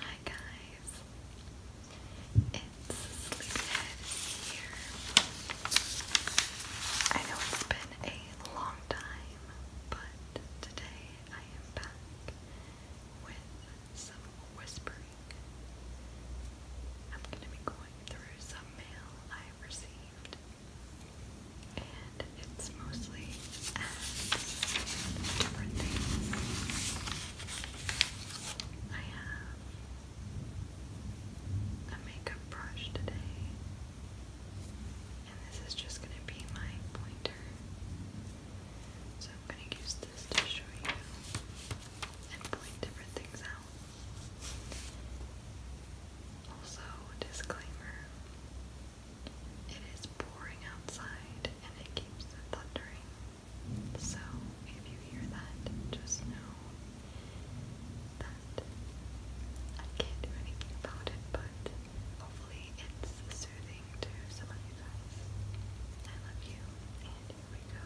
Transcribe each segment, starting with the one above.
Hi guys, it's Sleepyhead here. I know it's been a long time, but today I am back with some whispering. I'm going to be going through some mail received. And it's mostly different things. I have a makeup brush today, and this is just going to be my pointer. So I'm going to use this to show you and point different things out now. Also, disclaimer it is pouring outside and it keeps thundering. So, if you hear that, just know that I can't do anything about it, but hopefully it's soothing to some of you guys. I love you, and here we go.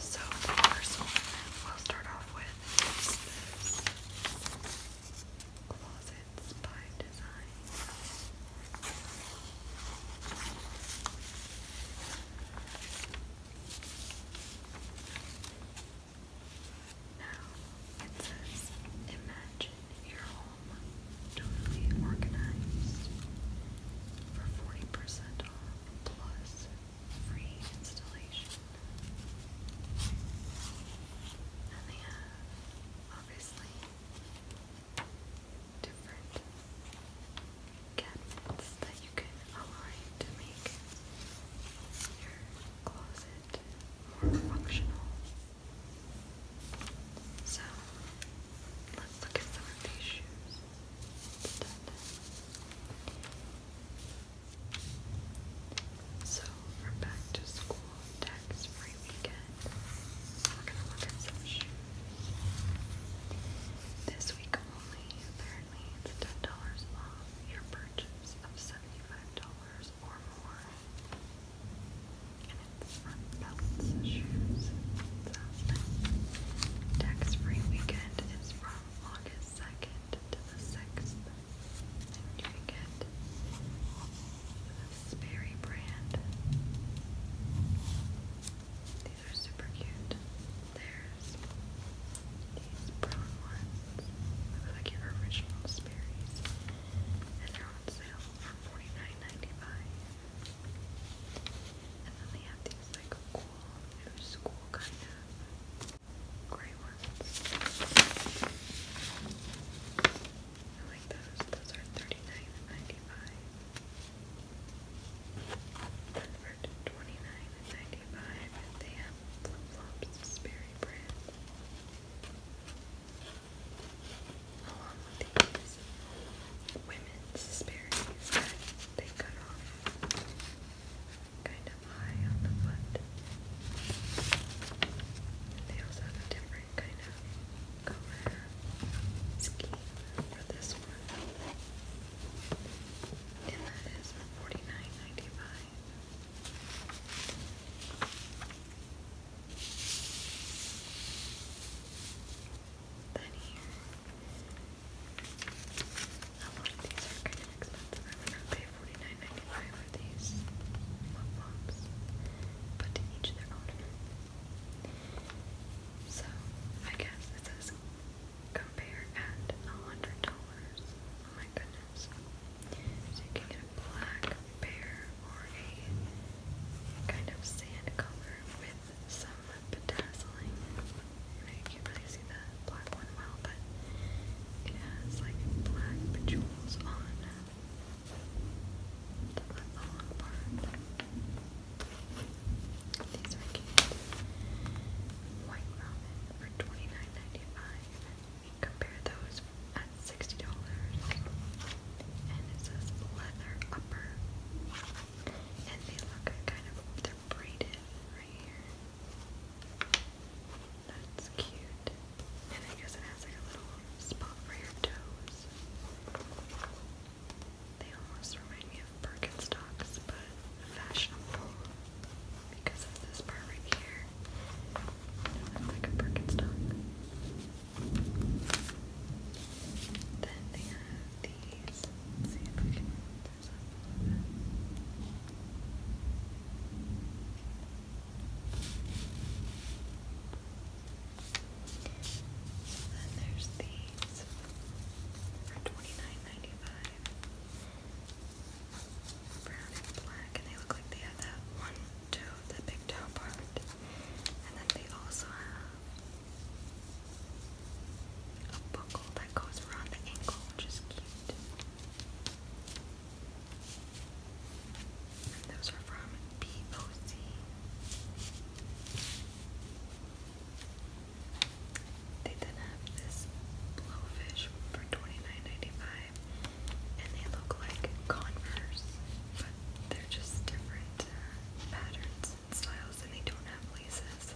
So the first we'll start off with Closets by Design. Now it says imagine your home totally organized for 40% off plus free installation. And they have obviously different cabinets that you can align to make your closet more functional. So, Let's look at some of these shoes. So for back to school tax free weekend, we're gonna look at some shoes. This week only, apparently it's ten dollars off your purchase of seventy-five dollars or more it's Tax free weekend is from August 2nd to the 6th. you can get the Sperry brand. These are super cute. There's these brown ones. Look like your original Sperry's. And they're on sale for 49 And then they have these like cool new school kind of gray ones. I like those. Those are $39.95. they have flip flops, Sperry brand along with these women's Sperry's they cut off kind of high on the foot. they also have a different kind of color scheme for this one. And that is forty nine ninety five than here. A lot of these are kind of expensive. I'm gonna pay 49 for these pop pops, but to each their own. So I guess it says compare at a hundred dollars. Oh my goodness! So you can get a black pair or a kind of sand color with some bedazzling. I can't really see the black well, but it has like black jewels on the, long part. These are White ramen for 29 Compare those at $60. And it says leather copper. And they look kind of, they're braided right here. That's cute. And I guess it has like a little spot for your toes. They almost remind me of Birkenstocks, but fashionable because of this part right here. It looks like a Birkenstock. Then they have these. see if I can move this up then there's these for 29 Brown and black, and they look like they have that one toe, the big toe part. And then they also have a buckle that goes around the ankle, which cute. And those are from POC. They then have this blowfish for 29 and they look like Converse, they're just different uh, patterns and styles, and they don't have laces.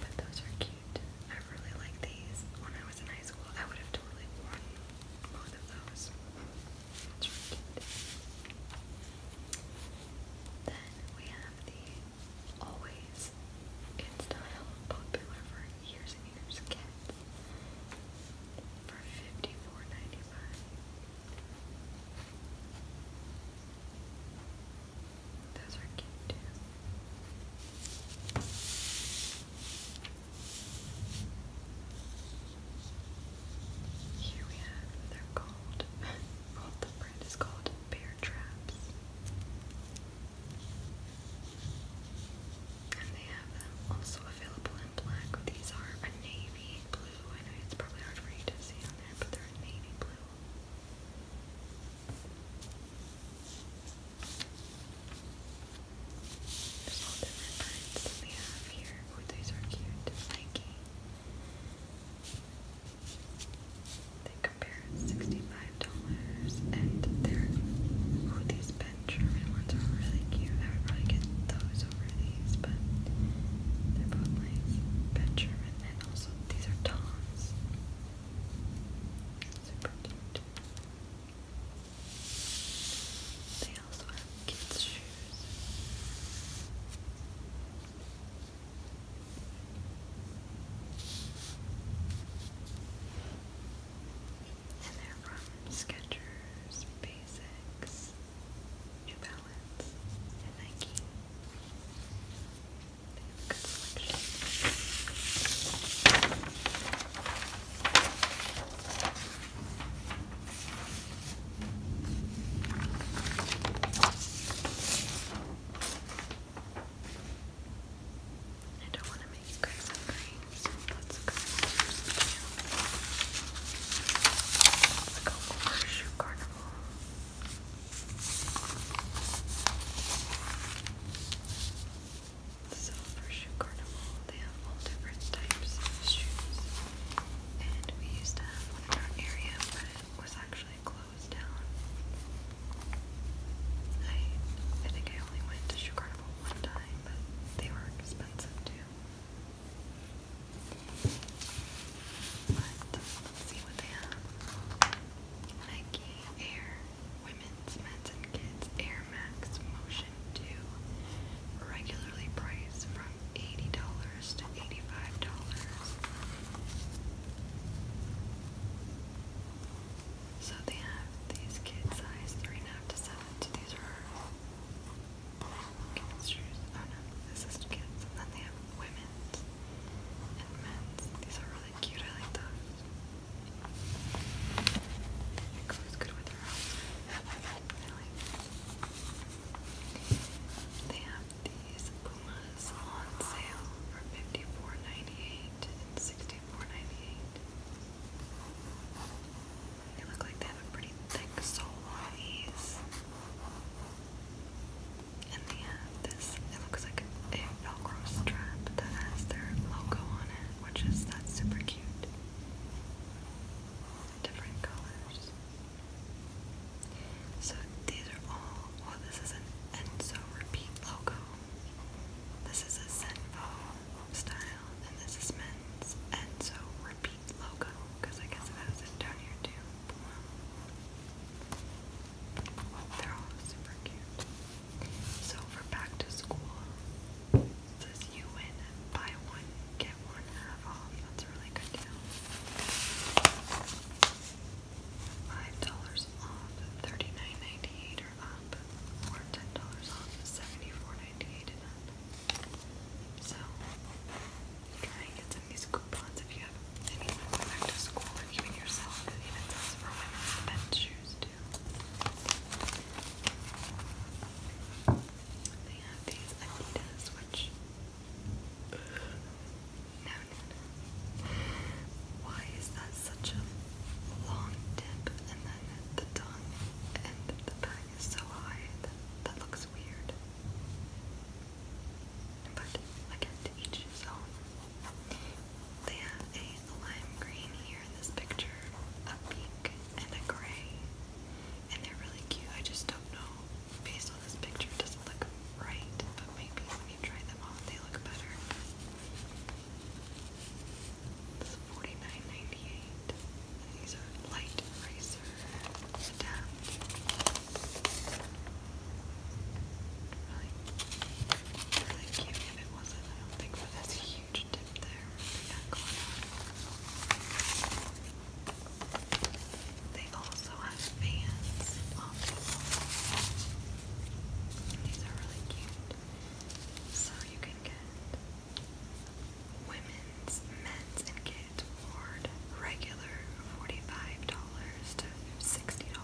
But those are cute. I really like these. When I was in high school, I would have totally worn both of those. That's really cute. Then we have the always in style, popular for years and years, cat for fifty four ninety five. Those are cute too. Here we have, they're called, well the brand is called Bear Traps. And they have them um, also available black. These are a navy blue. I know it's probably hard for you to see on there, but they're navy blue. There's different kinds that we have here. these are cute. Nike. They compare $65 and they're, oh, these German ones are really cute. I would probably get those over these, but they're both nice. Pet and also these are Toms. Super cute. They also have kids' and they're from Skechers, Basics, New Balance, and Nike. I don't want to makes good suffering, so good. Like a horseshoe carnival. So for shoe carnival, they have all different types of shoes. And we used to have one in our area, but it was actually closed down. I I think I only went to shoe carnival one time they were expensive too. But see what they have. Nike Air Women's, Men's, and Kids Air Max Motion 2. Regularly priced from $80 to $85. So they have these kid size 3.5 to 7 these are kids' shoes. Oh no, this is kids. And then they have women's and men's. These are really cute. I like those. It goes good with her outfit. I like these. They have these Pumas on sale for $54.98 and $64.98. They look like they have a pretty thick sole on these. And they have this, it looks like a velcro strap that has their logo on it, which is, that's super cute. Different colors. So these are all, well this is an Enzo Repeat logo. This is a Zenvo style, and this is men's, and repeat logo, because I guess it has it down here too. They're all super cute. So for back to school, says you win, buy one, get one half off. That's a really good deal. Five dollars off, thirty nine ninety eight up or ten dollars off is seventy-four ninety-eight and up. So try and get some of these coupons if you have anyone go back to school or even yourself. It even says for women's men's shoes too. They have these Adidas, which no, no, no. Why is that has such a long tip, and then the tongue and the back is so high that that looks weird. But again, to each his own. They have a lime green here in this picture, a pink and a gray, and they're really cute. I just don't know. Based on this picture, doesn't look right, but maybe when you try them on, they look better. It's 49 dollars These are light eraser tabs. Really, really cute. If it wasn't, I don't think, but that's huge tip there. They also have fans on These are really cute. So you can get women's, men's, and kids ward regular $45 to $60.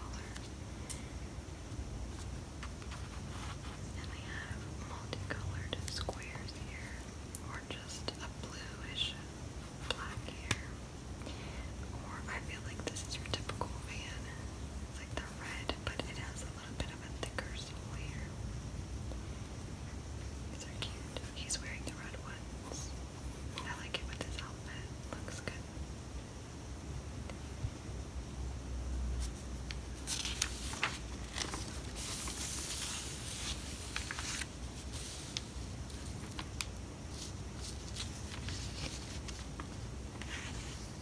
And they have multicolored squares here, or just a bluish black here. Or I feel like this is your typical van. It's like the red, but it has little bit of a thicker sole These are cute. He's wearing the red ones. I like it with his outfit. Looks good.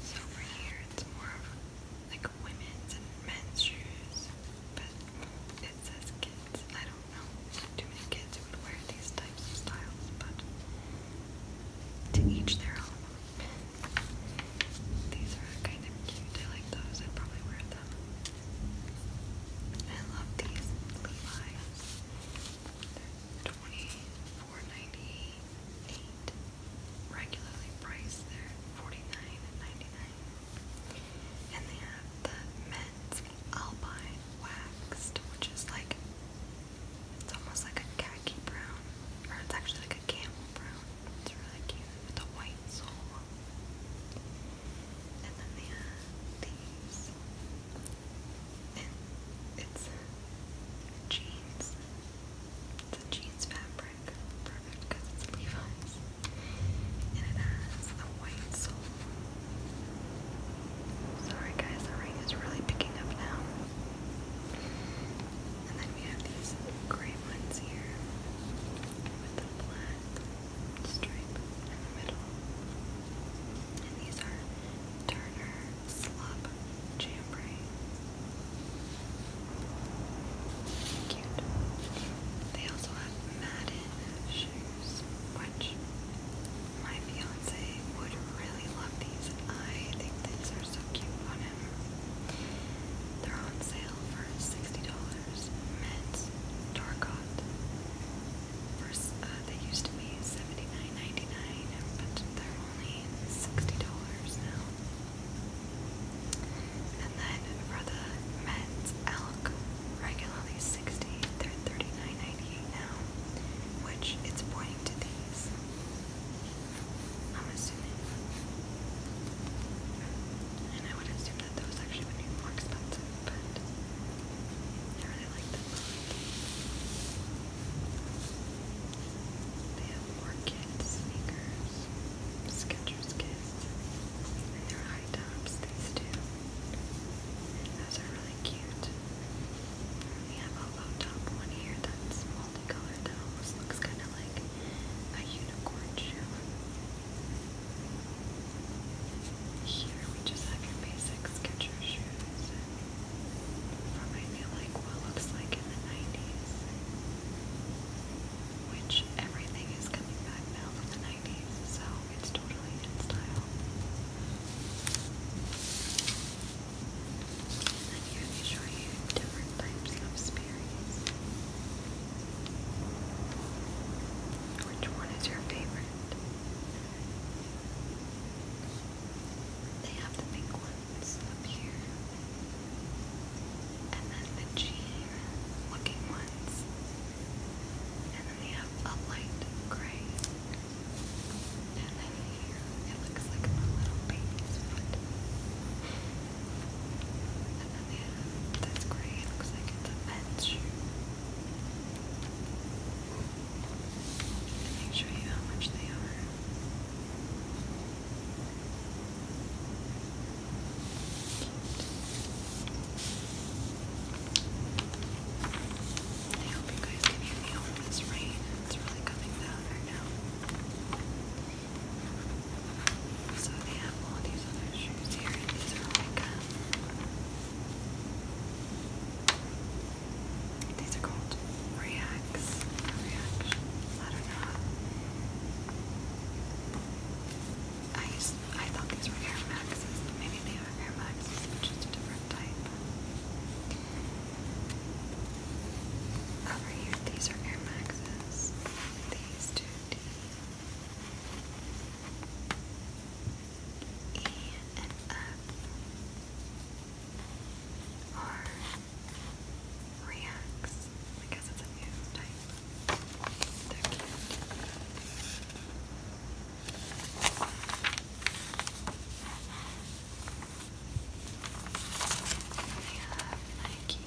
So over here, it's more of like women's and men's shoes, but it says kids. I don't know too many kids who would wear these types of styles, but to each their own. These are kind of cute. I like those. I'd probably wear them. I love these Levi's. They're 20 4 dollars Regularly priced, they 49 $49.99. And they have the Men's Alpine Waxed, which is like, it's almost like a khaki brown, or it's actually like a camel brown. It's really cute with a white sole. And then they have these. jeans it's a jeans fabric, perfect because it's Levi's, and it has a white sole. Sorry guys, the ring is really picking up now. And then we have these gray ones here with the black stripe in the middle. And these are Turner Slop chambray. Cute. They also have Madden shoes, which my fiance would really love these. I think these are so cute on him. They're on sale for $60. Men's Darcot. First, uh, they used to be 79 but they're only $60 now. And then for the men's elk, regularly 60 they're dollars now, which it's buying to these. I'm assuming. And I would assume that those actually would be more expensive, but I really like them. They have orchid sneakers, Skechers Kiss, and their high tops, these two. Those are really cute. We have a low top one here that's multicolored that almost looks kind of like a unicorn shoe. Here we just have your basic Skechers shoes from I feel like what looks like in the 90s, which everything is coming back now from the 90s, so it's totally in style. And then here show you different types of Sperry's. Which one is your favorite? They have the pink one ones up here, and then the G-looking ones, and then they have a light gray, and then here it looks like a little baby's foot, and then they have this gray, looks like it's a men's shoe. I can show you how much they are. Cute. I hope you guys can hear me oh, this rain. It's really coming down right now. So they have all these other shoes here, and these are like. Um, these are called reacts I don't know. I used, I thought these were Air Maxes, but maybe they are Air Maxes, but just a different type. Over here, these are Air Maxes. These two D. E and F or reacts because it's a new type. They have Nike.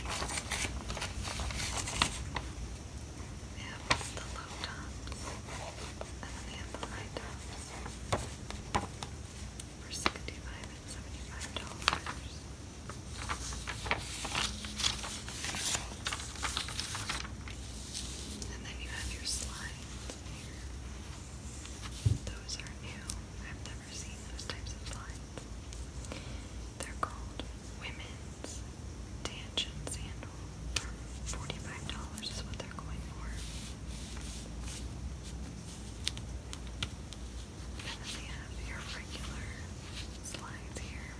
They have the low tops and then they have the high tops for sixty-five and seventy-five dollars. And then you have your slides here. Those are new. I've never seen those types of slides. They're called women's tangent sandal $45 is what they're going for. And then they have your regular slides here.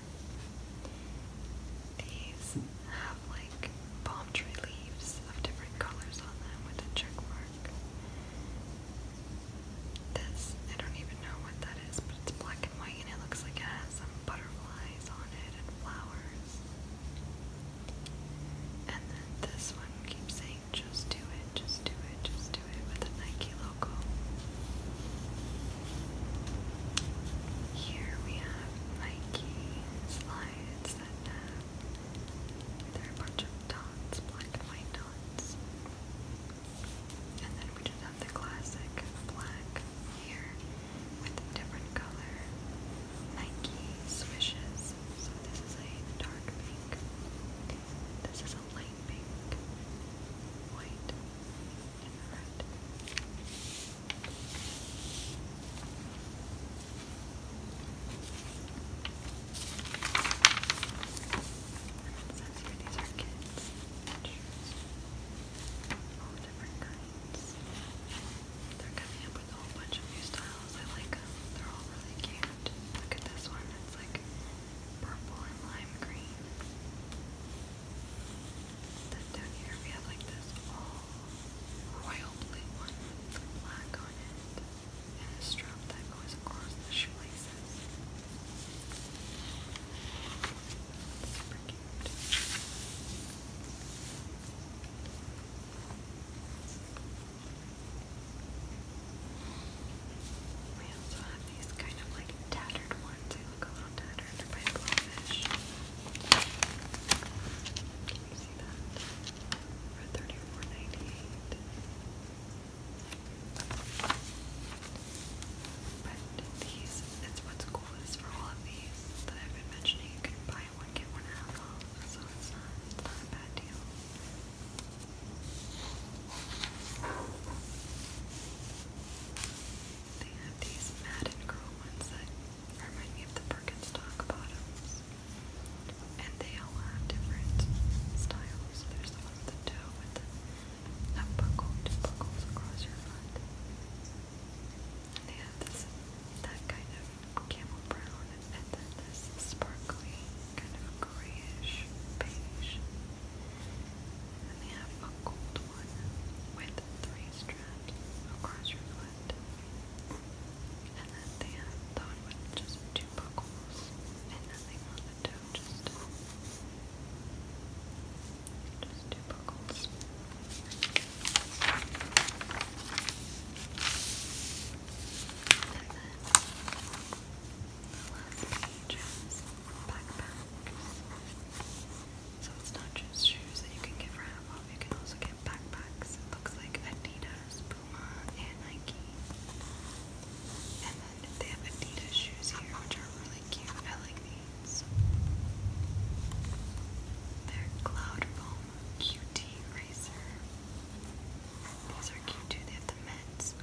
These have like palm tree leaves of different colors on them with a check This, I don't even know what that is, but it's black and white and it looks like it has some butterflies on it and flowers. And then this one keeps saying, just do it, just do it, just do it with a Nike logo. Here we have Nike slides that have, there are a bunch of dots, black and white dots. And then we just have the classic black here with a different color Nike swishes. So this is a dark pink. This is a light pink, white, red. And it says these are kids' All different kinds. They're coming up with a whole bunch of new styles. I like them. They're all really cute. Look at this one. It's like purple and lime green. Then down here we have like this royal blue one. it black on it. And a strap that goes across the shoelaces. Super cute. We also have these kind of like tattered ones. They look a little tattered. they Can you For thirty-four ninety-eight. But these, it's what's cool for all of these that I've been mentioning, you can buy buy one, get one half off, so it's not, not a bad deal. They have these Madden Girl ones that remind me of the Birkenstock bottoms. And they all have different styles. There's the one with the toe with the, a buckles across your foot. And they have this, that kind of camel brown, and then this sparkly, kind of grayish beige. And they have a gold one with three straps across your foot. And then they have the one with just two buckles and nothing on the toe, just, just two buckles is backpacks. So it's not just shoes that you can get for half you can also get backpacks. looks like Adidas, Puma, and Nike. And then they have Adidas shoes here, which are really cute. I They're cloud foam QT eraser. These are cute They have the Mets,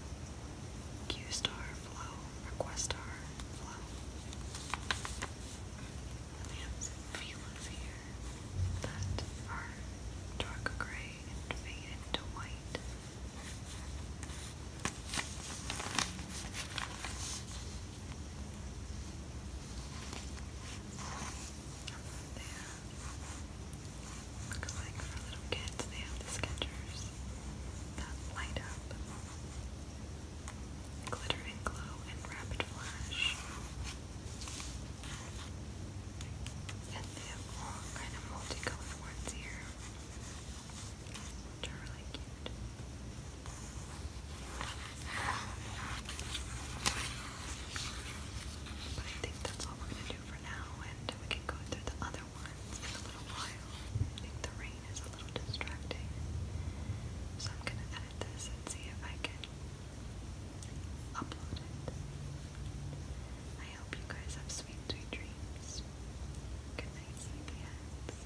Q Star Flow, Requestar Flow. And have some here that are dark gray and fade into white. There. Looks like for little kids they have the Skechers that light up. Glitter and glow and rapid flash. And they have all kind of multicolored ones here. Which are really cute. But I think that's all we're gonna do for now, and we can go through the other ones in a little while. I think the rain is a little distracting, so I'm gonna edit this and see if I can upload it. I hope you guys have sweet, dreams. Good night, sleepyheads.